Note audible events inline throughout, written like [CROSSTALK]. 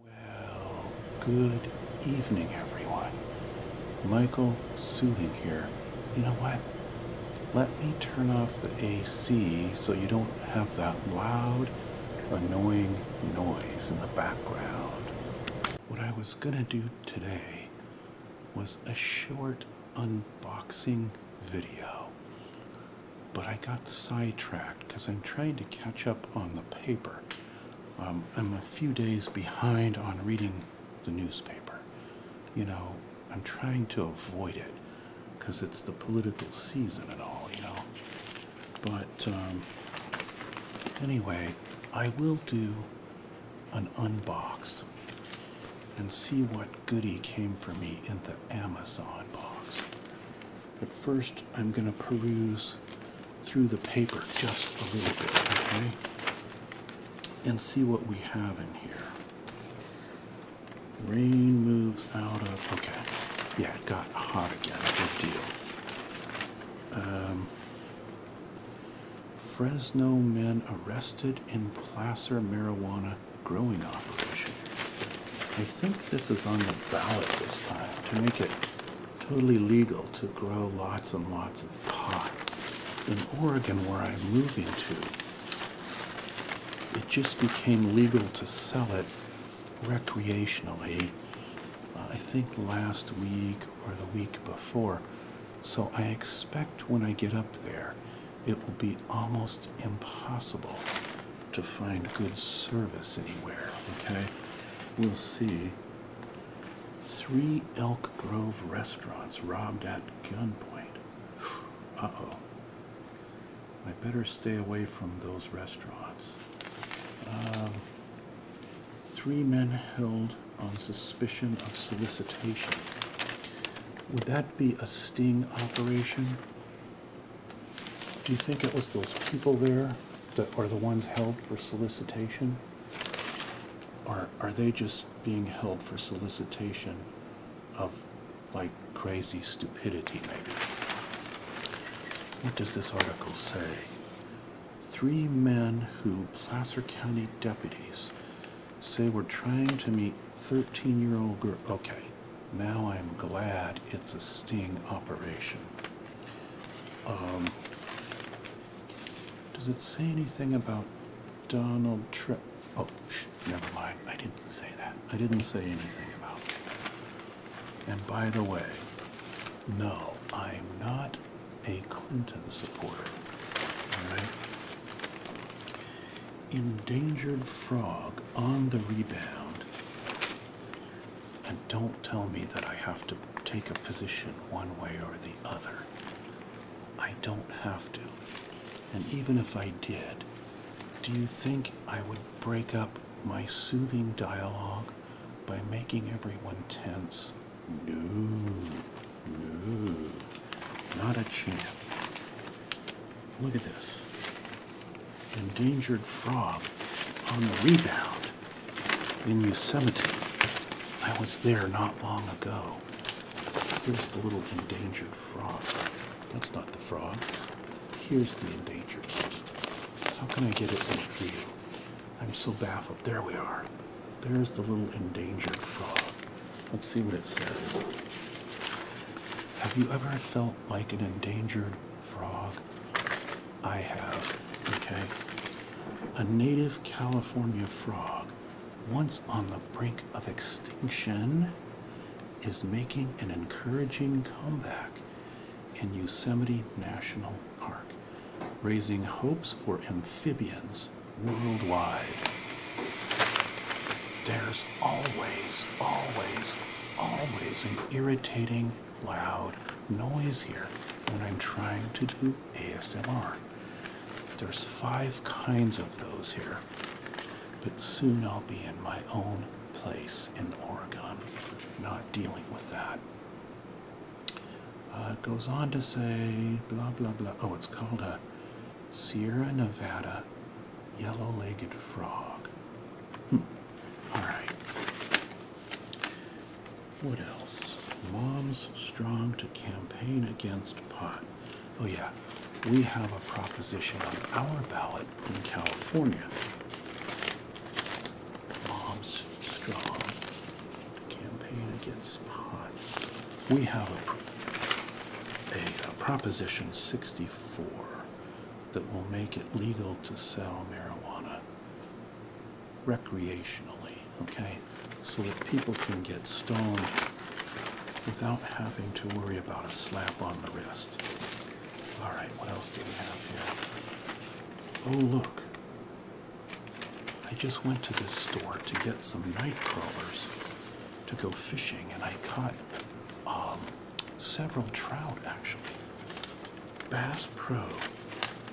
Well, good evening, everyone. Michael Soothing here. You know what? Let me turn off the AC so you don't have that loud, annoying noise in the background. What I was gonna do today was a short unboxing video but I got sidetracked because I'm trying to catch up on the paper. Um, I'm a few days behind on reading the newspaper. You know, I'm trying to avoid it because it's the political season and all, you know. But um, anyway, I will do an unbox and see what goody came for me in the Amazon box. But first, I'm going to peruse through the paper just a little bit, okay? And see what we have in here. Rain moves out of. Okay. Yeah, it got hot again. Good deal. Um, Fresno men arrested in Placer marijuana growing operation. I think this is on the ballot this time to make it totally legal to grow lots and lots of pot. In Oregon, where I'm moving to, it just became legal to sell it recreationally, uh, I think last week or the week before. So I expect when I get up there, it will be almost impossible to find good service anywhere, okay? We'll see. Three Elk Grove restaurants robbed at gunpoint. [SIGHS] Uh oh. I better stay away from those restaurants. Um, three men held on suspicion of solicitation. Would that be a sting operation? Do you think it was those people there that are the ones held for solicitation? Or are they just being held for solicitation of like crazy stupidity maybe? What does this article say? Three men who Placer County deputies say were trying to meet 13-year-old girl. Okay. Now I'm glad it's a sting operation. Um, does it say anything about Donald Trump? Oh, shh, never mind. I didn't say that. I didn't say anything about And by the way, no, I'm not a Clinton supporter. All right? Endangered frog on the rebound. And don't tell me that I have to take a position one way or the other. I don't have to. And even if I did, do you think I would break up my soothing dialogue by making everyone tense? No, no, not a chance. Look at this endangered frog on the rebound in Yosemite. I was there not long ago. Here's the little endangered frog. That's not the frog. Here's the endangered. How can I get it in view? I'm so baffled. There we are. There's the little endangered frog. Let's see what it says. Have you ever felt like an endangered frog. I have, okay? A native California frog, once on the brink of extinction, is making an encouraging comeback in Yosemite National Park, raising hopes for amphibians worldwide. There's always, always always an irritating, loud noise here when I'm trying to do ASMR. There's five kinds of those here, but soon I'll be in my own place in Oregon, not dealing with that. Uh, it goes on to say, blah, blah, blah. Oh, it's called a Sierra Nevada Yellow-legged frog. Hmm. All right. What else? Moms strong to campaign against pot. Oh yeah, we have a proposition on our ballot in California. Moms strong to campaign against pot. We have a, a proposition 64 that will make it legal to sell marijuana recreationally, okay? So that people can get stoned without having to worry about a slap on the wrist. All right, what else do we have here? Oh, look. I just went to this store to get some night crawlers to go fishing, and I caught um, several trout actually. Bass Pro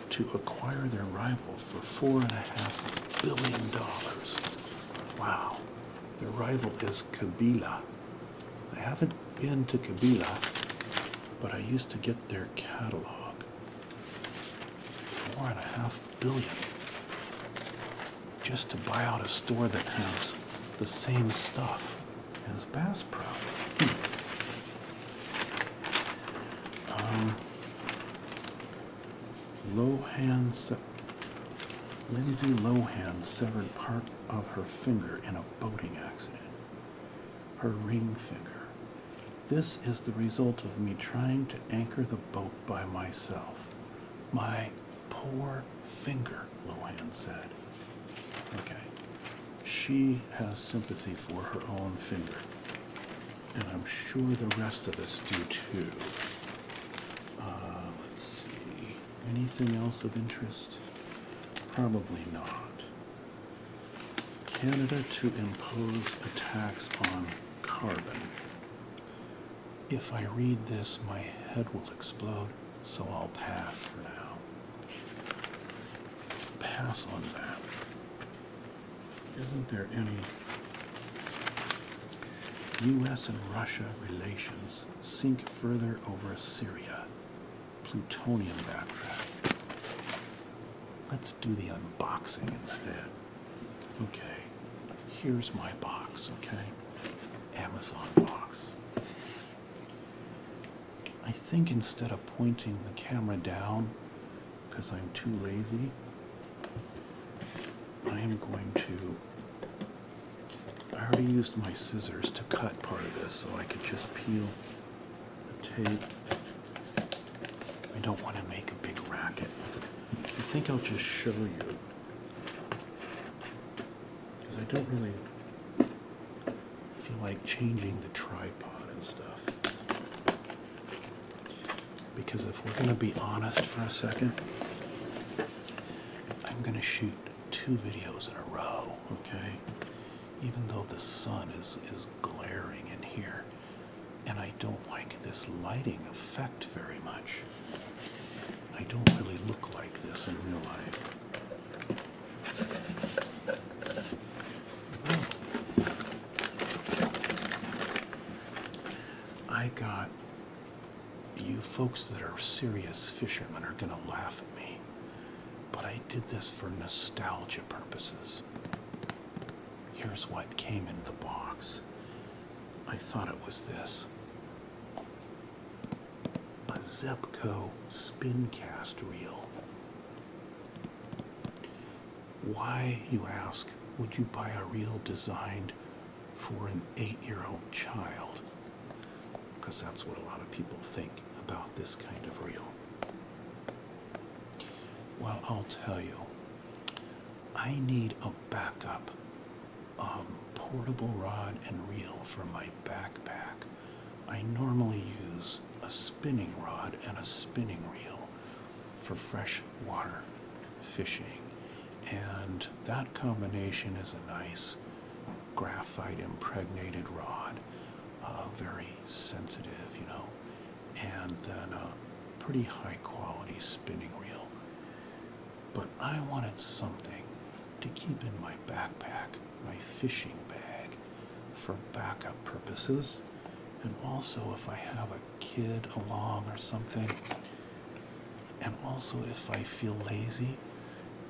to acquire their rival for four and a half billion dollars. Wow, their rival is Kabila. I haven't been to Kabila, but I used to get their catalog. Four and a half billion just to buy out a store that has the same stuff as Bass Pro. Hmm. Um, Lohan, Lindsay Lohan severed part of her finger in a boating accident. Her ring finger. This is the result of me trying to anchor the boat by myself. My Poor finger, Lohan said. Okay. She has sympathy for her own finger. And I'm sure the rest of us do too. Uh, let's see. Anything else of interest? Probably not. Canada to impose a tax on carbon. If I read this, my head will explode, so I'll pass for now. Pass on that. Isn't there any US and Russia relations sink further over Syria? Plutonium backtrack. Let's do the unboxing instead. Okay here's my box, okay? Amazon box. I think instead of pointing the camera down because I'm too lazy, I am going to. I already used my scissors to cut part of this, so I could just peel the tape. I don't want to make a big racket. I think I'll just show you because I don't really feel like changing the tripod and stuff. Because if we're going to be honest for a second, I'm going to shoot two videos in a row, okay? Even though the sun is, is glaring in here. And I don't like this lighting effect very much. I don't really look like this in real life. Oh. I got you folks that are serious fishermen are going to laugh at me, but I did this for nostalgia purposes. Here's what came in the box. I thought it was this a Zeppco spin cast reel. Why, you ask, would you buy a reel designed for an eight year old child? Because that's what a lot of people think about this kind of reel. Well, I'll tell you, I need a backup um, portable rod and reel for my backpack. I normally use a spinning rod and a spinning reel for freshwater fishing, and that combination is a nice graphite impregnated rod, uh, very sensitive, you know, and then a pretty high quality spinning reel. But I wanted something to keep in my backpack, my fishing bag, for backup purposes. And also, if I have a kid along or something, and also if I feel lazy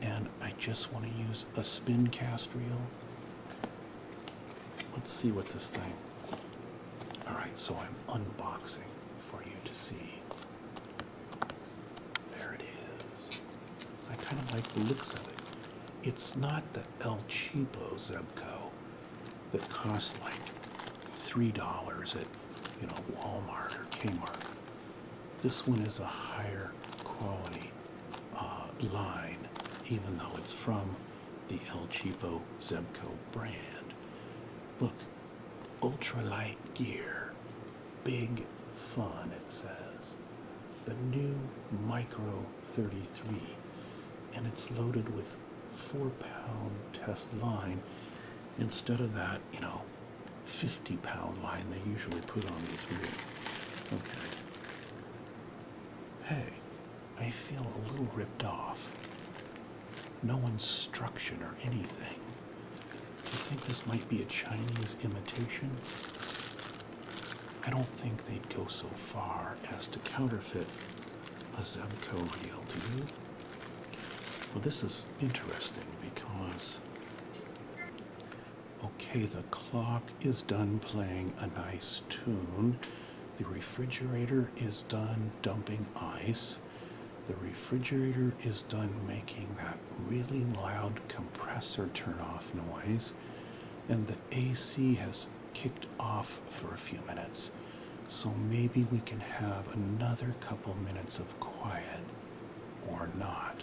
and I just want to use a spin cast reel. Let's see what this thing. Alright, so I'm unboxing for you to see. There it is. I kind of like the looks of it. It's not the El Cheapo Zebco that costs like $3 at, you know, Walmart or Kmart. This one is a higher quality uh, line, even though it's from the El Cheapo Zebco brand. Look, ultralight gear. Big fun, it says. The new Micro 33, and it's loaded with four pound test line instead of that, you know, 50 pound line they usually put on these wheels. Okay. Hey, I feel a little ripped off no instruction or anything. Do you think this might be a Chinese imitation? I don't think they'd go so far as to counterfeit a Zemco reel, do you? Well, this is interesting because, okay, the clock is done playing a nice tune, the refrigerator is done dumping ice. The refrigerator is done making that really loud compressor turn off noise, and the AC has kicked off for a few minutes. So maybe we can have another couple minutes of quiet or not.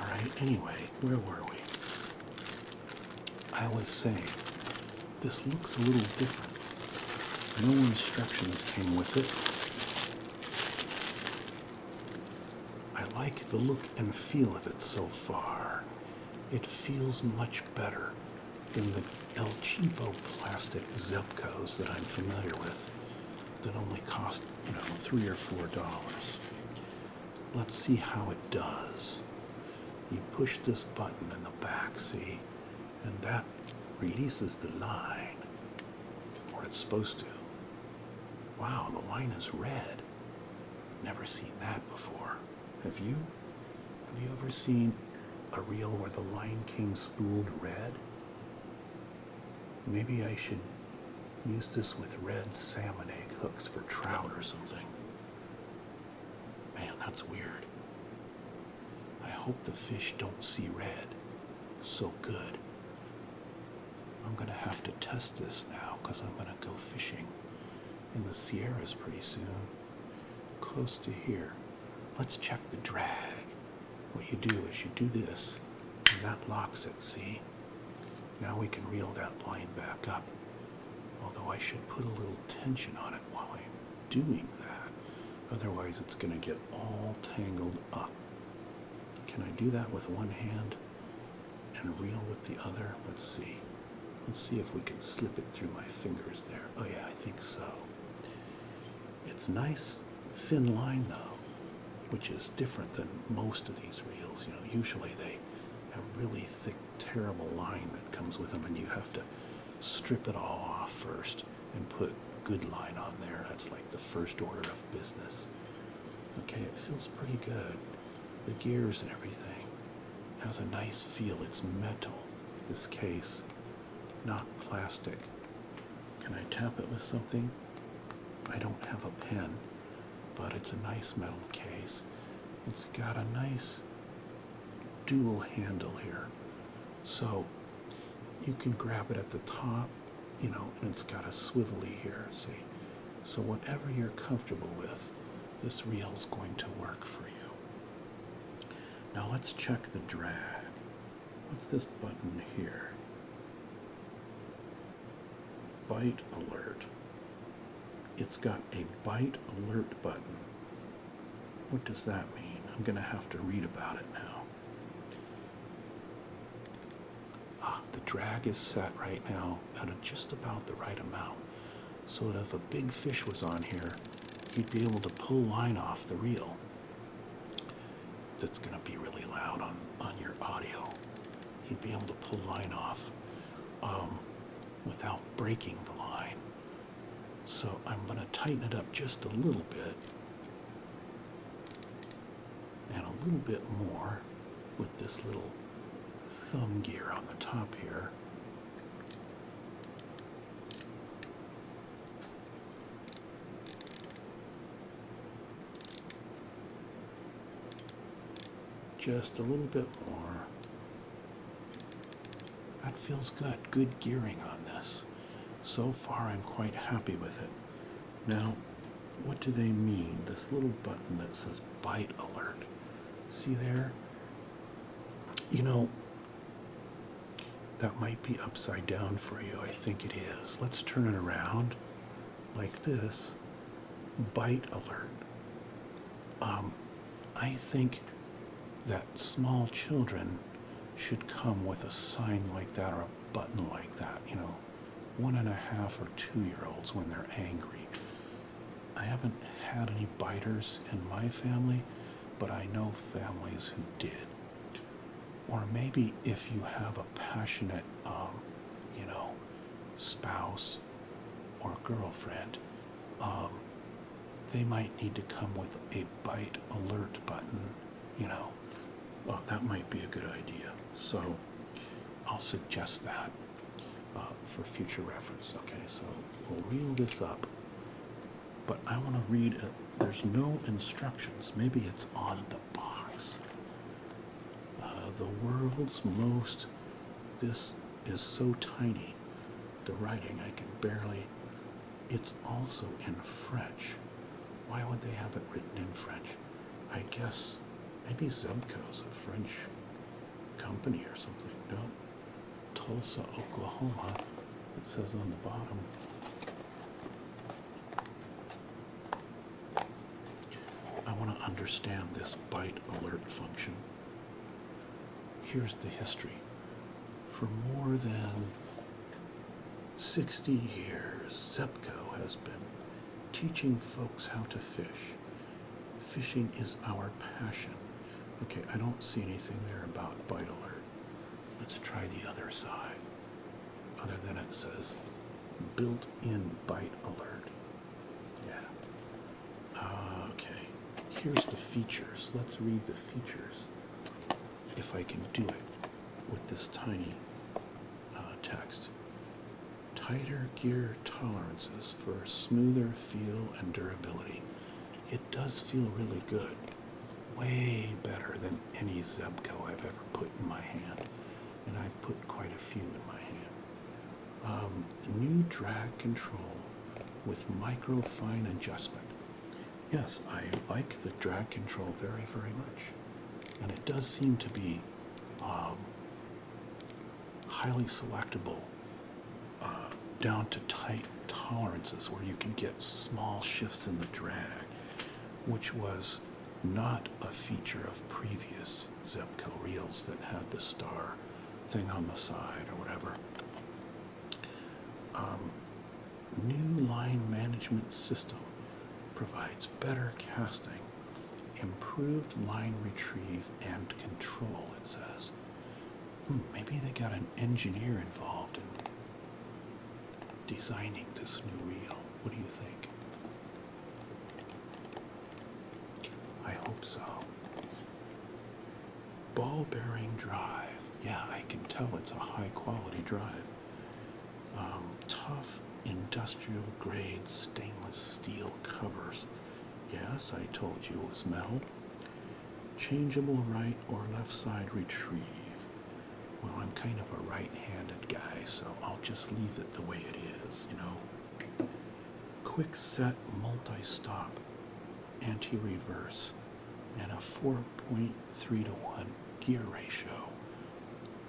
Alright, anyway, where were we? I was saying this looks a little different. No instructions came with it. I like the look and feel of it so far. It feels much better than the El Cheapo plastic Zepcos that I'm familiar with that only cost, you know, three or four dollars. Let's see how it does. You push this button in the back, see? and that releases the line, or it's supposed to. Wow, the line is red. Never seen that before. Have you? Have you ever seen a reel where the line came spooled red? Maybe I should use this with red salmon egg hooks for trout or something. Man, that's weird. I hope the fish don't see red. So good. I'm gonna have to test this now because I'm gonna go fishing in the Sierras pretty soon. Close to here. Let's check the drag. What you do is you do this, and that locks it, see? Now we can reel that line back up. Although I should put a little tension on it while I'm doing that. Otherwise, it's going to get all tangled up. Can I do that with one hand and reel with the other? Let's see. Let's see if we can slip it through my fingers there. Oh, yeah, I think so. It's nice thin line though, which is different than most of these reels. You know, usually they have really thick, terrible line that comes with them, and you have to strip it all off first and put good line on there. That's like the first order of business. Okay, it feels pretty good. The gears and everything has a nice feel. It's metal. This case, not plastic. Can I tap it with something? I don't have a pen, but it's a nice metal case. It's got a nice dual handle here. So you can grab it at the top, you know, and it's got a swivelly here, see? So whatever you're comfortable with, this reel's going to work for you. Now let's check the drag. What's this button here? Bite alert. It's got a bite alert button what does that mean? I'm going to have to read about it now. Ah, the drag is set right now at just about the right amount. So that if a big fish was on here, he'd be able to pull line off the reel. That's going to be really loud on, on your audio. He'd be able to pull line off um, without breaking the line. So I'm going to tighten it up just a little bit and a little bit more with this little thumb gear on the top here. Just a little bit more. That feels good. Good gearing on this. So far, I'm quite happy with it. Now, what do they mean? This little button that says bite alert. See there? You know, that might be upside down for you. I think it is. Let's turn it around like this. Bite alert. Um, I think that small children should come with a sign like that or a button like that, you know, one and a half or two year olds when they're angry. I haven't had any biters in my family, but I know families who did. Or maybe if you have a passionate, um, you know, spouse or girlfriend, um, they might need to come with a bite alert button, you know. that might be a good idea. So I'll suggest that uh, for future reference. Okay, so we'll reel this up. But I want to read it. There's no instructions. Maybe it's on the box. Uh, the world's most. This is so tiny, the writing I can barely. It's also in French. Why would they have it written in French? I guess maybe Zemco's a French company or something. No, Tulsa, Oklahoma. It says on the bottom. I want to understand this bite alert function. Here's the history. For more than 60 years, ZEPCO has been teaching folks how to fish. Fishing is our passion. Okay, I don't see anything there about bite alert. Let's try the other side. Other than it says built-in bite alert. Yeah. Ah, okay, here's the features. Let's read the features if I can do it with this tiny uh, text. Tighter gear tolerances for smoother feel and durability. It does feel really good. Way better than any Zebco I've ever put in my hand. And I've put quite a few in my hand. Um, new drag control with micro fine adjustment. Yes, I like the drag control very, very much. And it does seem to be um, highly selectable uh, down to tight tolerances where you can get small shifts in the drag, which was not a feature of previous Zepco reels that had the star thing on the side or whatever. Um, new line management system provides better casting, improved line retrieve and control, it says. Hmm, maybe they got an engineer involved in designing this new reel. What do you think? I hope so. Ball bearing drive. Yeah, I can tell it's a high quality drive. Um, tough industrial grade stainless steel covers. Yes, I told you it was metal. Changeable right or left side retrieve. Well, I'm kind of a right handed guy, so I'll just leave it the way it is, you know quick set multi-stop anti-reverse and a 4.3 to 1 gear ratio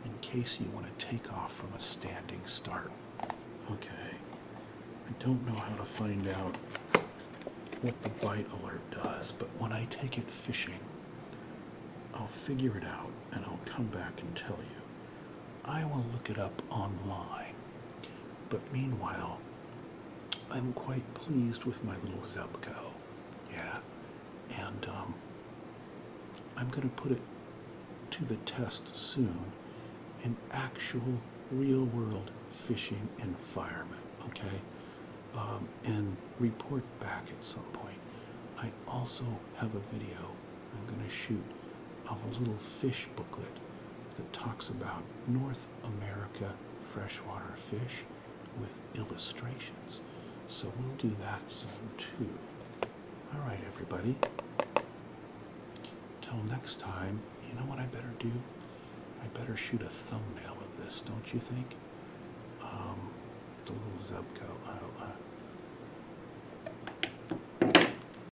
in case you want to take off from a standing start okay i don't know how to find out what the bite alert does but when i take it fishing i'll figure it out and i'll come back and tell you I will look it up online. But meanwhile, I'm quite pleased with my little Zebco. Yeah. And um, I'm going to put it to the test soon in actual real world fishing environment. Okay. Um, and report back at some point. I also have a video I'm going to shoot of a little fish booklet that talks about North America freshwater fish with illustrations. So we'll do that soon too. All right, everybody. Till next time, you know what I better do? I better shoot a thumbnail of this, don't you think? Um, the little Zebco. Uh, uh,